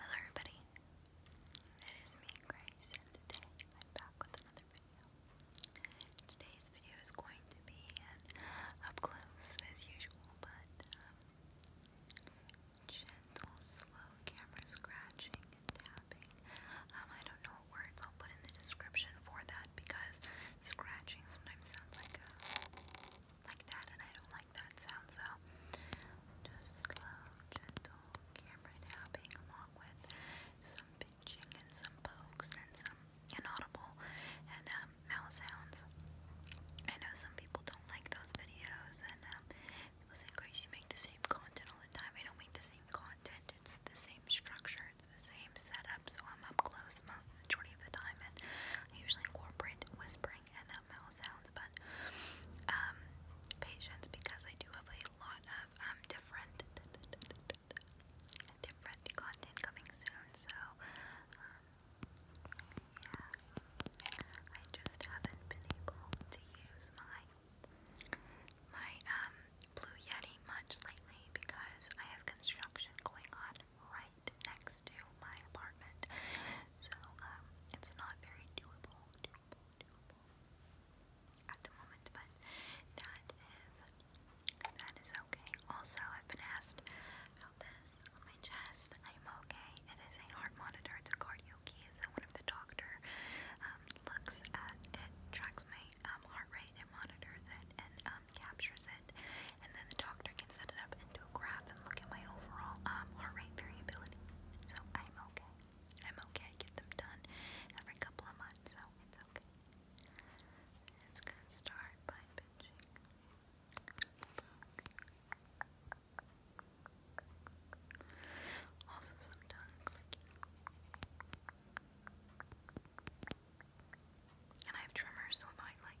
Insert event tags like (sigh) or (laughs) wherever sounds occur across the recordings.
Hello everybody, it is me Grace and today I'm back with another video. Today's video is going to be an up close as usual but um, gentle, slow camera scratching and tapping. Um, I don't know words I'll put in the description for that because scratching sometimes sounds like like that, and I don't like that sound, so just slow, gentle camera tapping along with some pinching and some pokes and some inaudible and um, mouse sounds. I know some people don't like those videos, and um, people say, Grace, you make the same content all the time. I don't make the same content, it's the same structure, it's the same setup, so I'm up close the majority of the time, and I usually incorporate whispering boring NML sounds, but um, patience because I do have a lot of um, different different content coming soon. So um, yeah, I just haven't been able to use my my um Blue Yeti much lately because I have construction going on right next to my apartment. So, um, it's not very doable, at the moment, but that is, that is okay. Also, I've been asked about this on my chest. I'm okay. It is a heart monitor. It's a cardio one of the doctor um, looks at it, tracks my um, heart rate, and monitors it, and um, captures it, and then the doctor can set it up graph and look at my overall um, heart rate variability. So I'm okay. I'm okay. get them done every couple of months, so it's okay. It's gonna start by Also, some And I have tremors, so it might like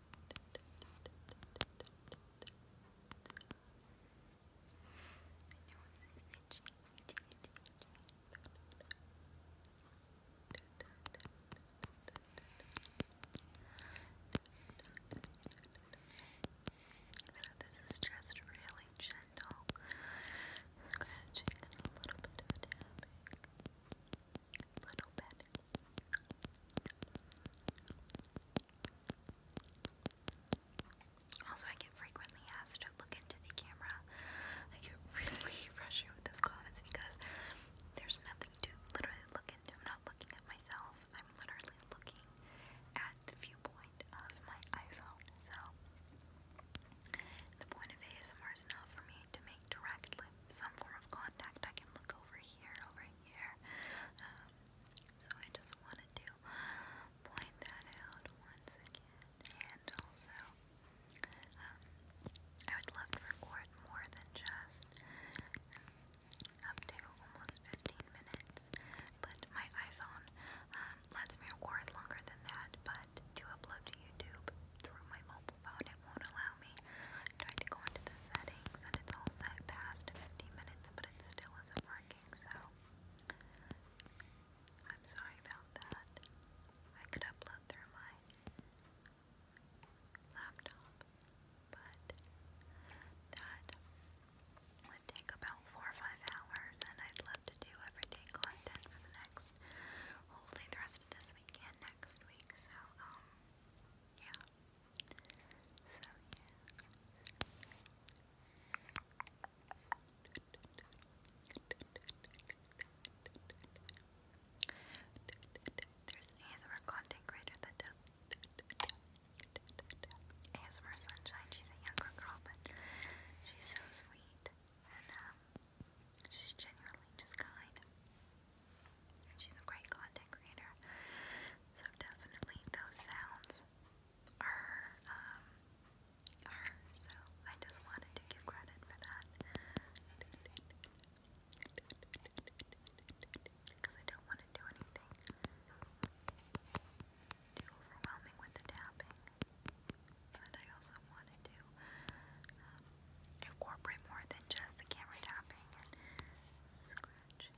So this is just really gentle scratching and a little bit of tapping. Also, I get frequently asked to look into the camera. I get (laughs) really frustrated with those comments because there's nothing to literally look into. I'm not looking at myself, I'm literally looking at the viewpoint of my iPhone. So, the point of ASMR is not for me to make directly some form of contact. I can look over here, over here. Um, so I just wanted to point that out once again. And also, um, I would love to record more than just up to almost 15 minutes, but my iPhone um, lets me record longer than that, but to upload to YouTube through my mobile phone it won't allow me. tried to go into the settings and it's all set past 50 minutes, but it still isn't working, so I'm sorry about that. I could upload through my laptop, but that would take about four or five hours, and I'd love to do everyday content for the next, hopefully, the rest of this week next week. So, um, yeah. There's an ASMR content creator that does ASMR Sunshine. She's a younger girl, but she's so sweet. And um, she's genuinely just kind. And she's a great content creator. So definitely those sounds um, are so I just wanted to give credit for that. Because I don't want to do anything too overwhelming with the tapping. But I also wanted to um, incorporate more than just the camera tapping and scratching.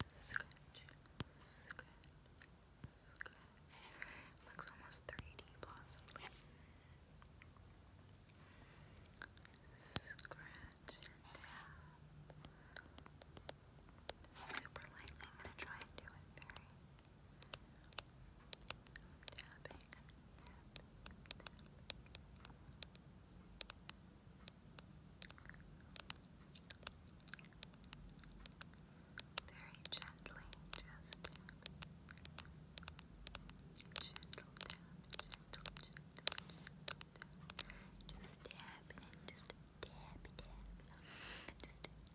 It looks almost 3D possibly. Scratch and Super lightly. I'm gonna try and do it very tapping, tapping. Very gently, just tap. Gentle tap, gentle, tap. Just tap it tap, tap. tap,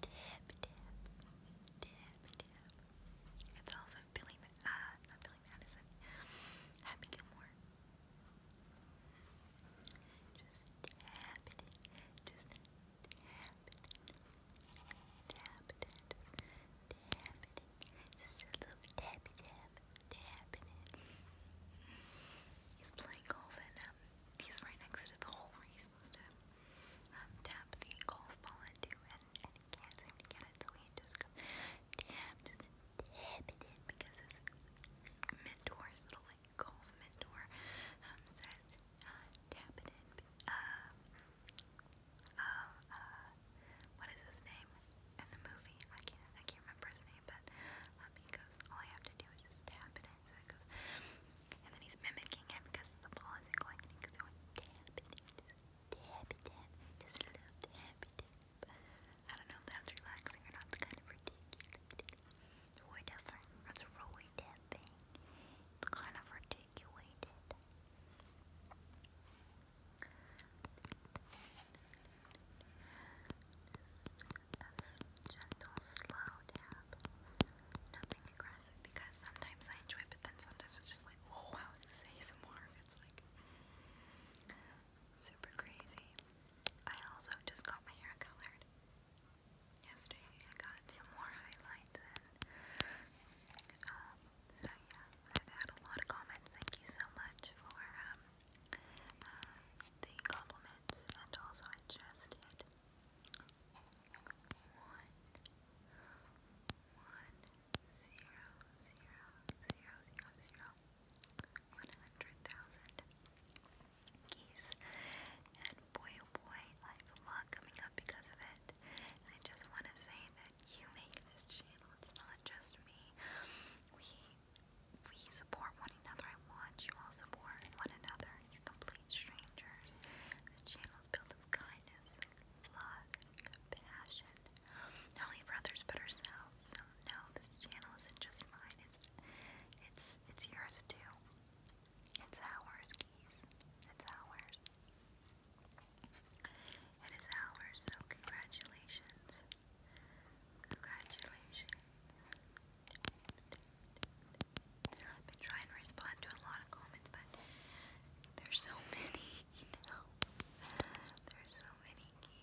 tap, tap, tap. It's all of Billy, uh, not Billy Madison, Happy Gilmore. Just tap it just tap it in, it in, it just a little tappy tap, tap it He's playing golf and he's right next to the hole where he's supposed to um, tap the golf ball into, and, he can't seem to get it, so he just goes tap, just inhibited because his mentor, little like golf mentor, um, tap it in. what is his name in the movie? I can't, I can't remember his name, but um, he goes, all I have to do is just tap it in. So it goes, and then he's mimicking him because the ball isn't going, and he goes, tap it in, just tap it in, just a little tap it in. I don't know if that's relaxing or not. It's kind of ridiculous. Roy different. That's Roy thing. It's kind of articulated. gentle, slow tap. Nothing aggressive because sometimes I enjoy but then sometimes it's just like, oh, wow, this ASMR? It's like. Super crazy. I also just got my hair colored. Yesterday I got some more highlights in. Um, so yeah, I've had a lot of comments. Thank you so much for um, the compliments and also I one, one, zero, zero, zero, zero, zero, one hundred thousand keys. And boy, oh boy, I have a lot coming up because of it. I just want to say that you make this channel. It's not just me. We we support one another. I watch you all support one another. you complete strangers. This channel is built of kindness, love, and not only for others but ourselves. So no, this channel isn't just mine. It's it's it's yours too. It's ours, keys. It's ours. It is ours. So congratulations. Congratulations. I've been trying to respond to a lot of comments, but there's so (laughs) many, you There's so many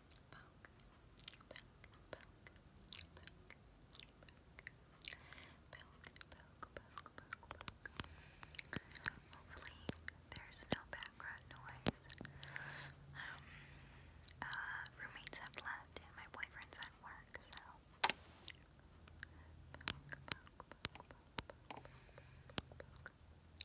poke, poke, Hopefully, there's no background noise. roommates have left and my boyfriend's at work, so.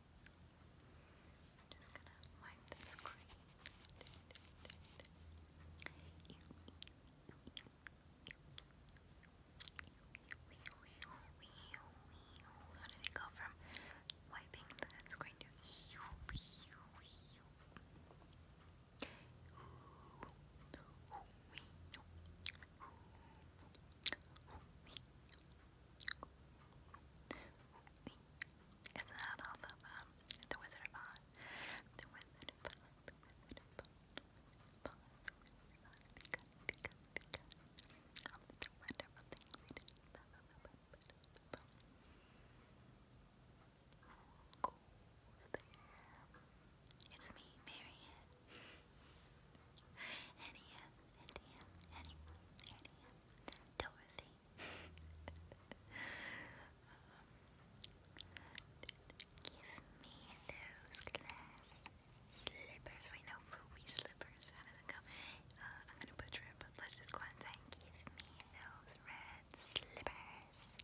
I'm just gonna wipe this green. How did it go from wiping the screen to isn't that off of um, The Wizard of Oz? The Wizard of Oz, It's me, Marion. Annie, Annie, Dorothy. give me those glass slippers. We know ruby slippers. I'm gonna butcher it, but let's just go and give me those red slippers.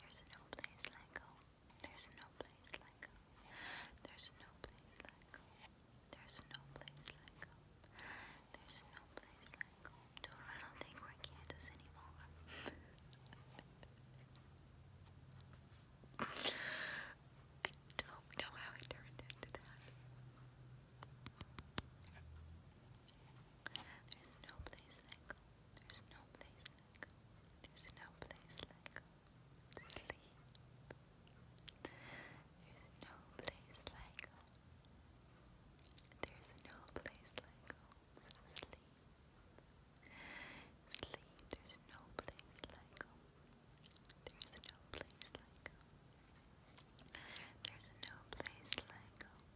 There's no place like home. There's no place like home. There's no place like home. There's no place like home. There's no place like home. Dora, I don't think we're in Kansas anymore. I don't know how I turned into that. There's no place like home. There's no place like home. There's no place like home sleep. There's no place like home. There's no place like home, sleep. Sleep, there's no place like home. There's no place like home. There's no place like home.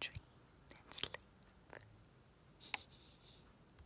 Dream and sleep. (laughs)